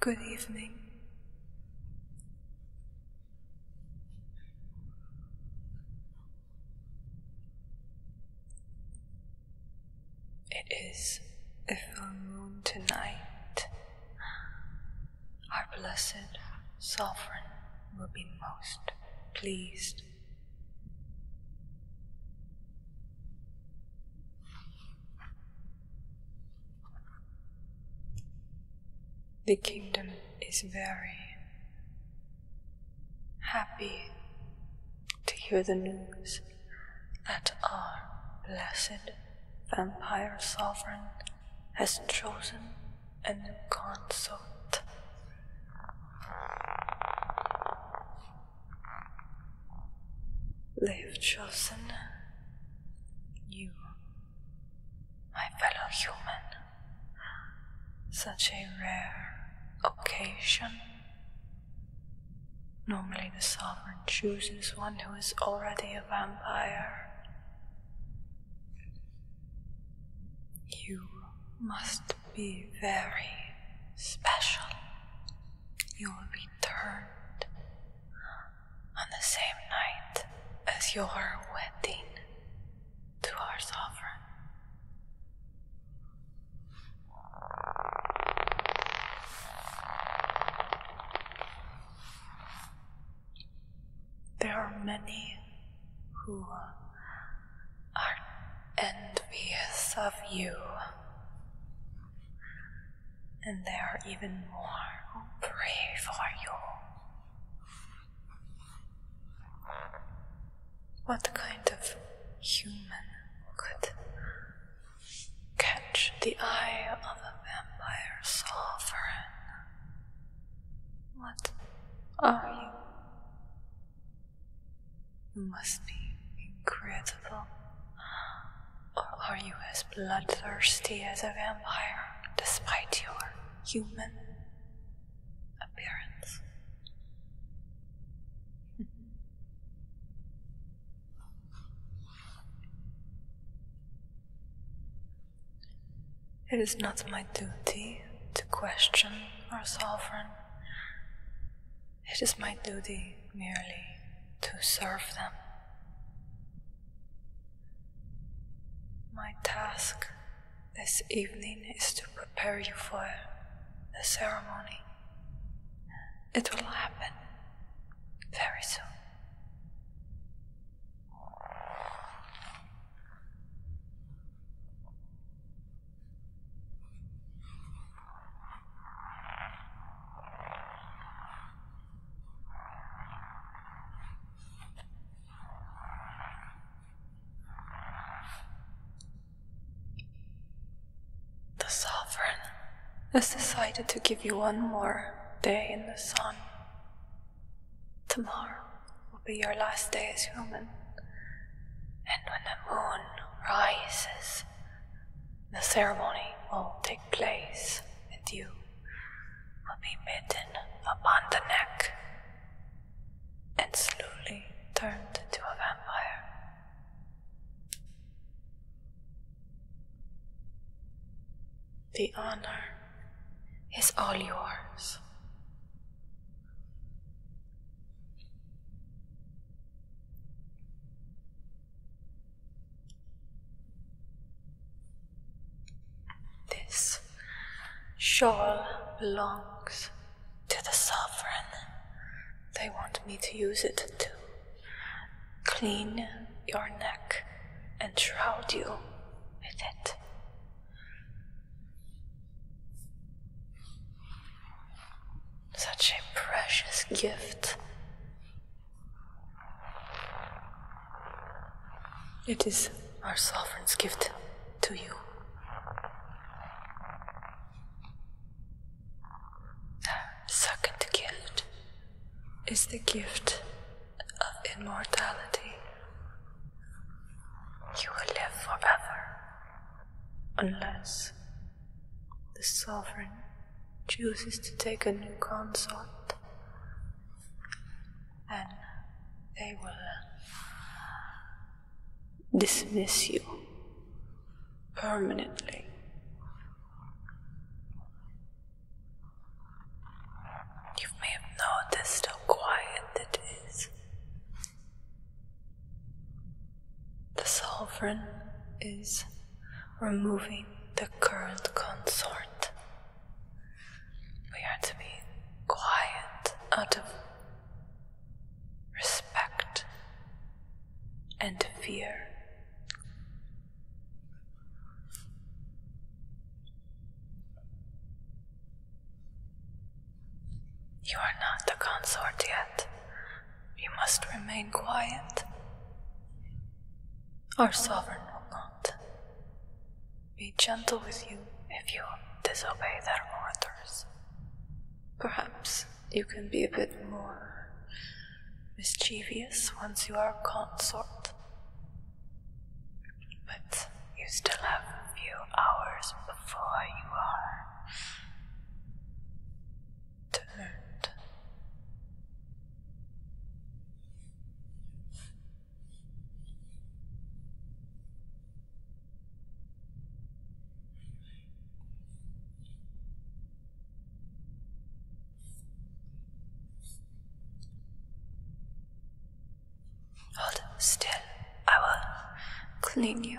Good evening. It is a full moon tonight our blessed Sovereign will be most pleased. The kingdom is very happy to hear the news that our blessed vampire sovereign has chosen a new consort. They've chosen you, my fellow human. Such a rare occasion. Normally, the sovereign chooses one who is already vampire. You must be very special. You'll be turned on the same night as your wedding to our sovereign. There are many who are envious of you, and there are even more who pray for you. What kind of human could catch the eye of a vampire sovereign. What are you? You must be incredible. Or are you as bloodthirsty as a vampire, despite your human appearance? It is not my duty to question our sovereign. It is my duty merely to serve them. My task this evening is to prepare you for the ceremony. It will happen very soon. The sovereign has decided to give you one more day in the sun. Tomorrow will be your last day as human, and when the moon rises, the ceremony will take place, and you will be bitten upon the neck and slowly turned into a vampire. The honor is all yours. This shawl belongs to the sovereign. They want me to use it too. Clean your neck and shroud you with it. Such a precious gift. It is our sovereign's gift to you. Second gift is the gift of uh, immortality. You will live forever unless the sovereign chooses to take a new consort. and they will uh, dismiss you permanently. You may have noticed how quiet it is. The sovereign is removing the current consort. We are to be quiet out of respect and fear you are not the consort yet. You must remain quiet. Our sovereign will not be gentle with you if you disobey their orders. Perhaps you can be a bit more mischievous once you are consort. But you still have a few hours before you are turned. Hold still, I will clean you.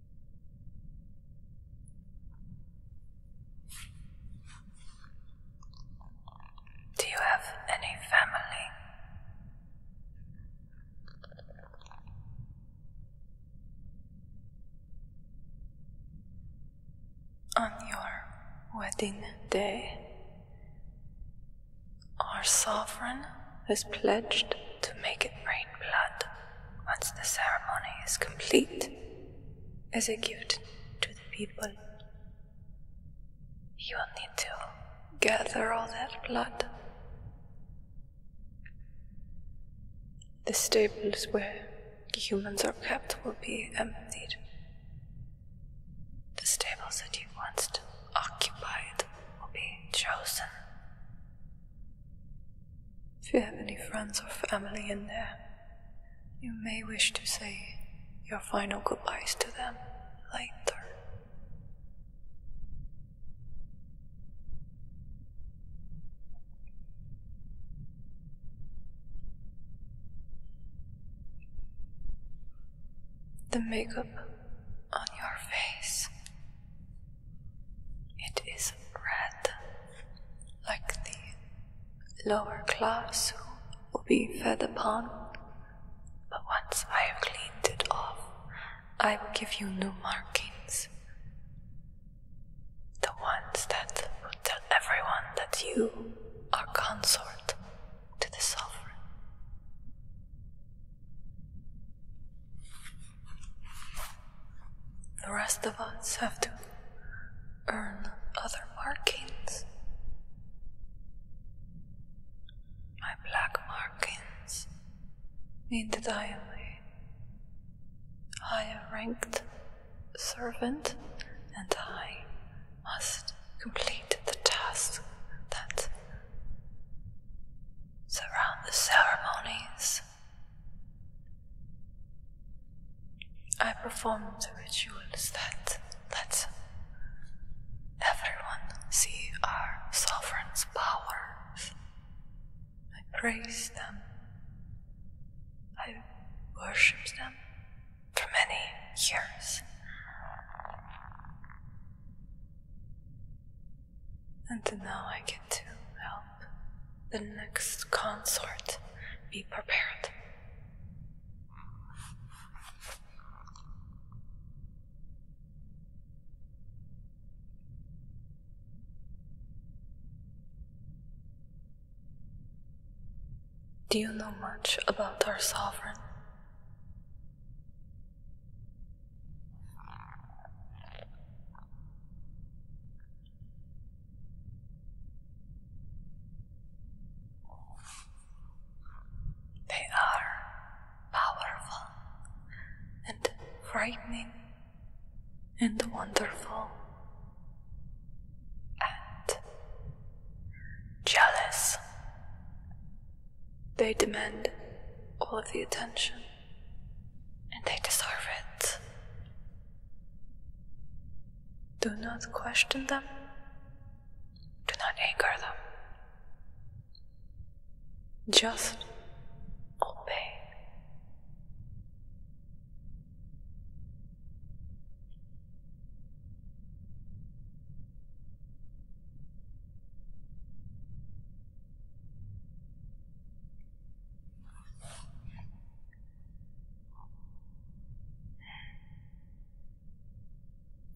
Do you have any family? On your wedding day, our sovereign has pledged to make it rain blood once the ceremony is complete as a gift to the people. You will need to gather all that blood. The stables where humans are kept will be emptied. The stables that you once occupied will be chosen if you have any friends or family in there, you may wish to say your final goodbyes to them later. The makeup on your face it is red, like the lower class who will be fed upon. But once I have cleaned it off, I will give you new markings. The ones that will tell everyone that you are consort to the sovereign. The rest of us have to earn other markings. My black markings mean that I am a higher ranked servant and I must complete the task that surround the ceremonies. I perform the rituals that let everyone see our sovereign's powers. I praise them. I worship them for many years. And now I get to help the next consort be prepared. Do you know much about our sovereign? They are powerful and frightening and wonderful and jealous. They demand all of the attention and they deserve it. Do not question them, do not anger them. Just obey.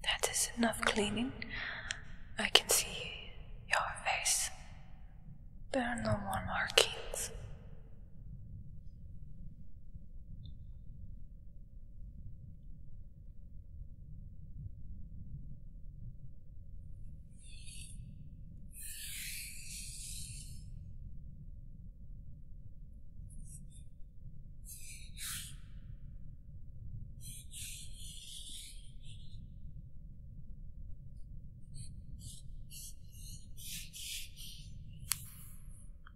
That is enough cleaning. I can see your face. There are no more markings.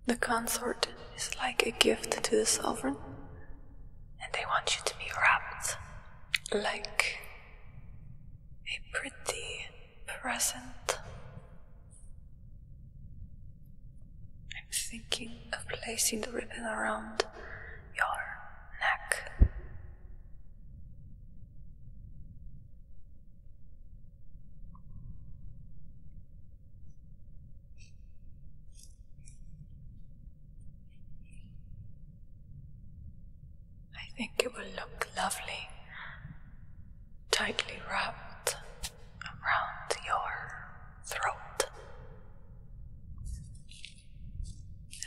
The consort is like a gift to the sovereign, and they want you to be wrapped like a pretty present. I'm thinking of placing the ribbon around your neck. I think it will look lovely tightly wrapped around your throat.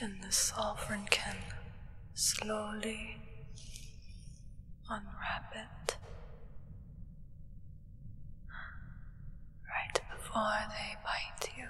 And the sovereign can slowly unwrap it right before they bite you.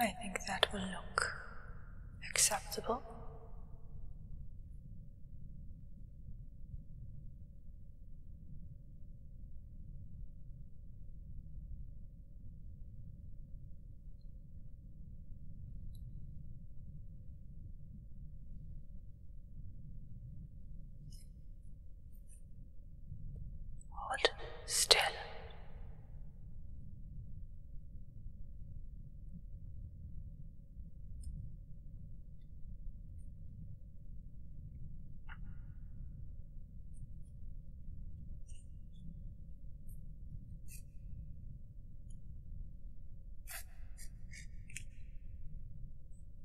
I think that will look acceptable. Hold still.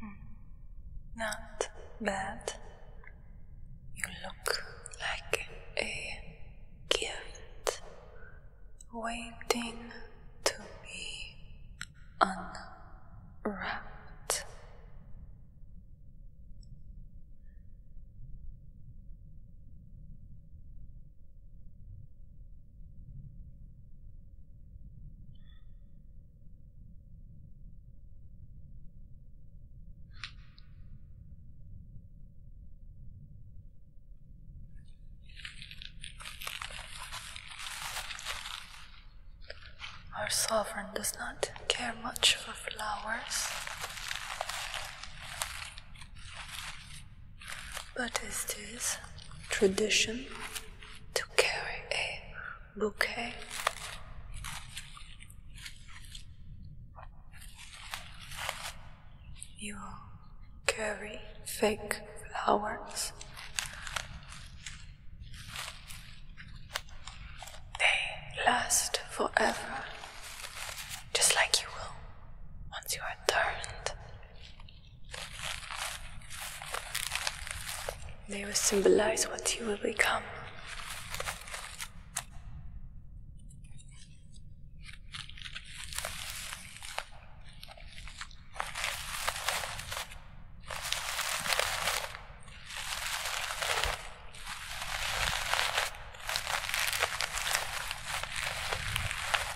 Hmm. Not bad. You look like a gift waiting to be unwrapped. Our sovereign does not care much for flowers, but it is tradition to carry a bouquet. You carry fake flowers. They last forever, just like you will once you are turned they will symbolize what you will become.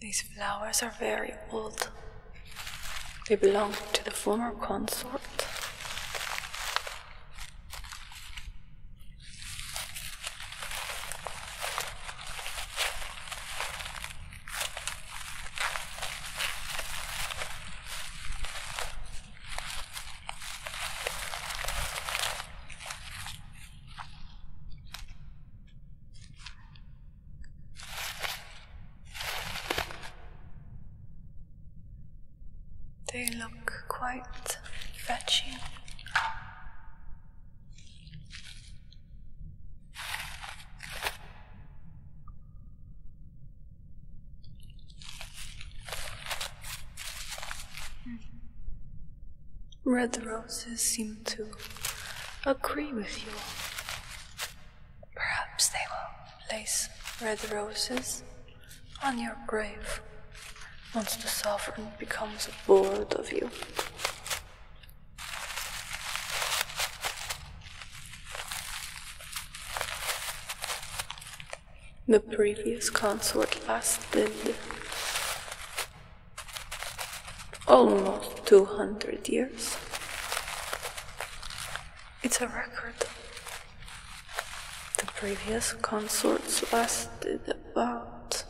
These flowers are very old. They belong to the former consort. They look quite fetching. Red roses seem to agree with you. Perhaps they will place red roses on your grave once the sovereign becomes bored of you. The previous consort lasted almost 200 years. It's a record. The previous consorts lasted about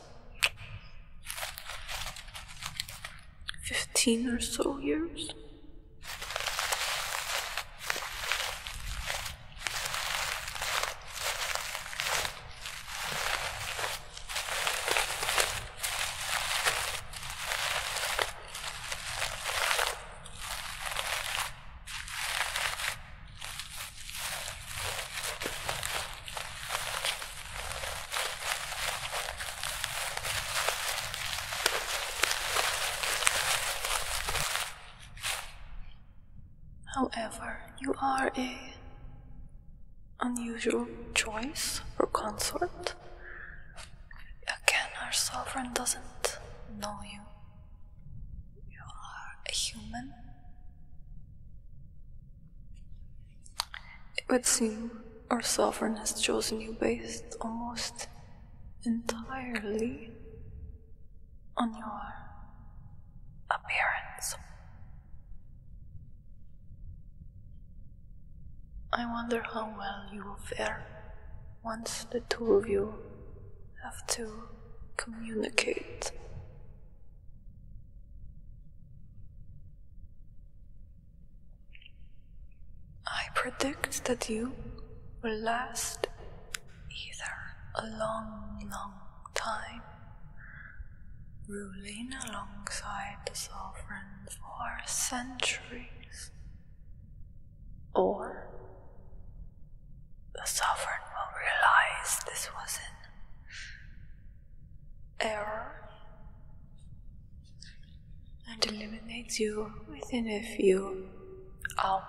15 or so years. However, you are a unusual choice for consort. Again, our sovereign doesn't know you. You are a human. It would seem our sovereign has chosen you based almost entirely on your appearance. I wonder how well you will fare once the two of you have to communicate. I predict that you will last either a long, long time ruling alongside the sovereign for centuries, or the sovereign will realize this was not error and eliminates you within a few hours.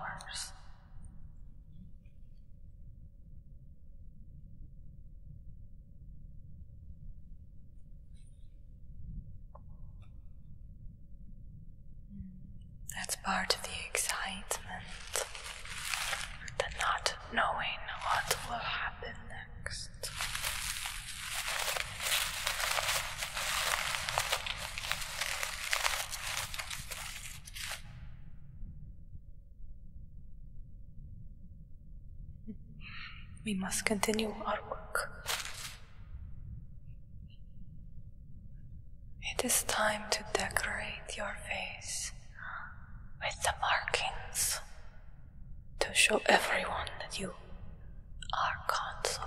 That's part of the excitement, the not knowing what will happen we must continue our work. It is time to decorate your face with the markings to show everyone that you are consort.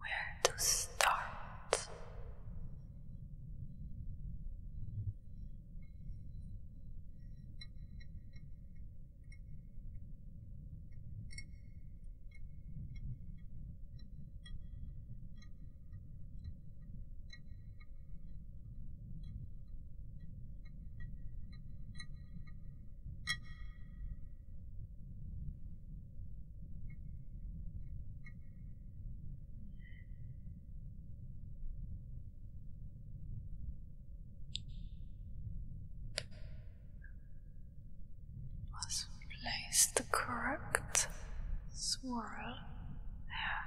Where to start? Let's place the correct swirl there.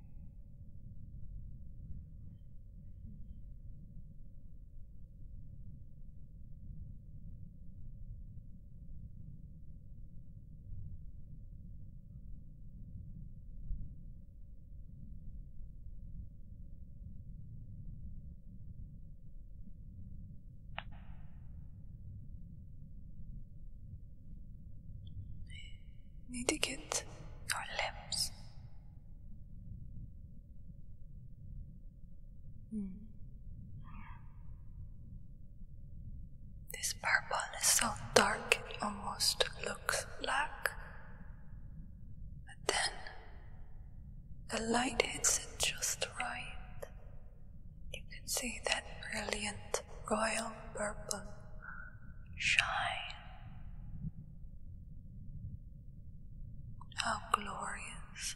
Need to get our limbs this purple is so dark it almost looks black. But then the light hits it just right. You can see that brilliant royal purple shine. How glorious.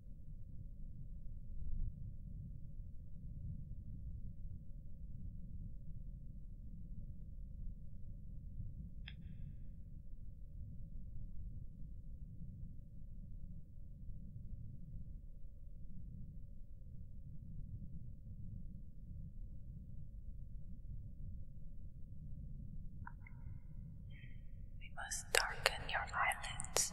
We must darken your eyelids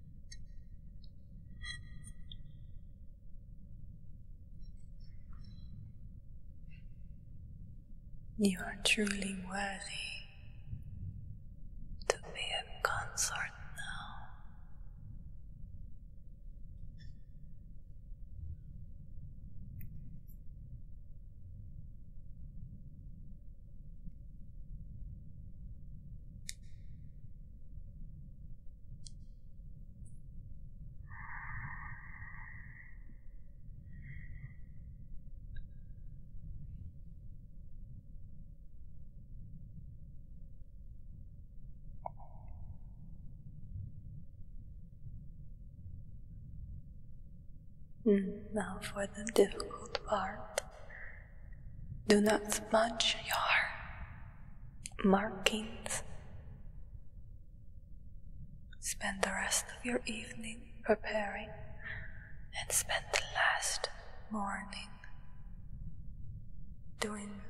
You are truly worthy to be a consort now. Mm, now for the difficult part do not smudge your markings. Spend the rest of your evening preparing and spend the last morning doing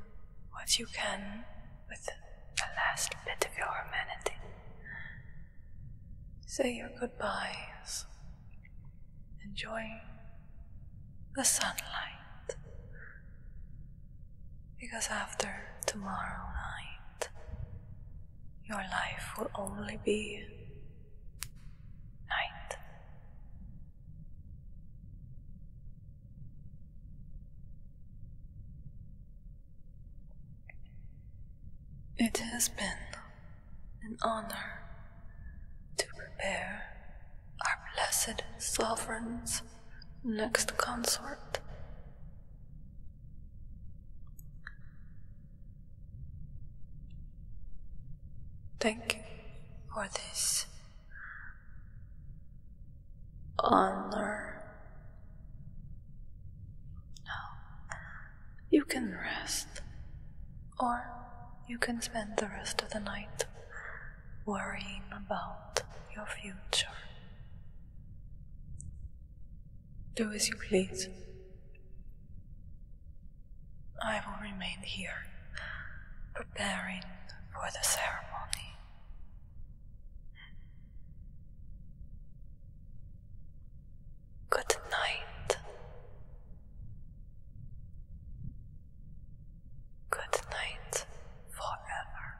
what you can with the last bit of your humanity. Say your goodbyes, enjoying the sunlight. Because after tomorrow night, your life will only be night. It has been an honor to prepare our blessed sovereign's next consort. Thank you for this honor. Now you can rest or you can spend the rest of the night worrying about your future. Do as you please. I will remain here, preparing for the ceremony. Good night. Good night forever.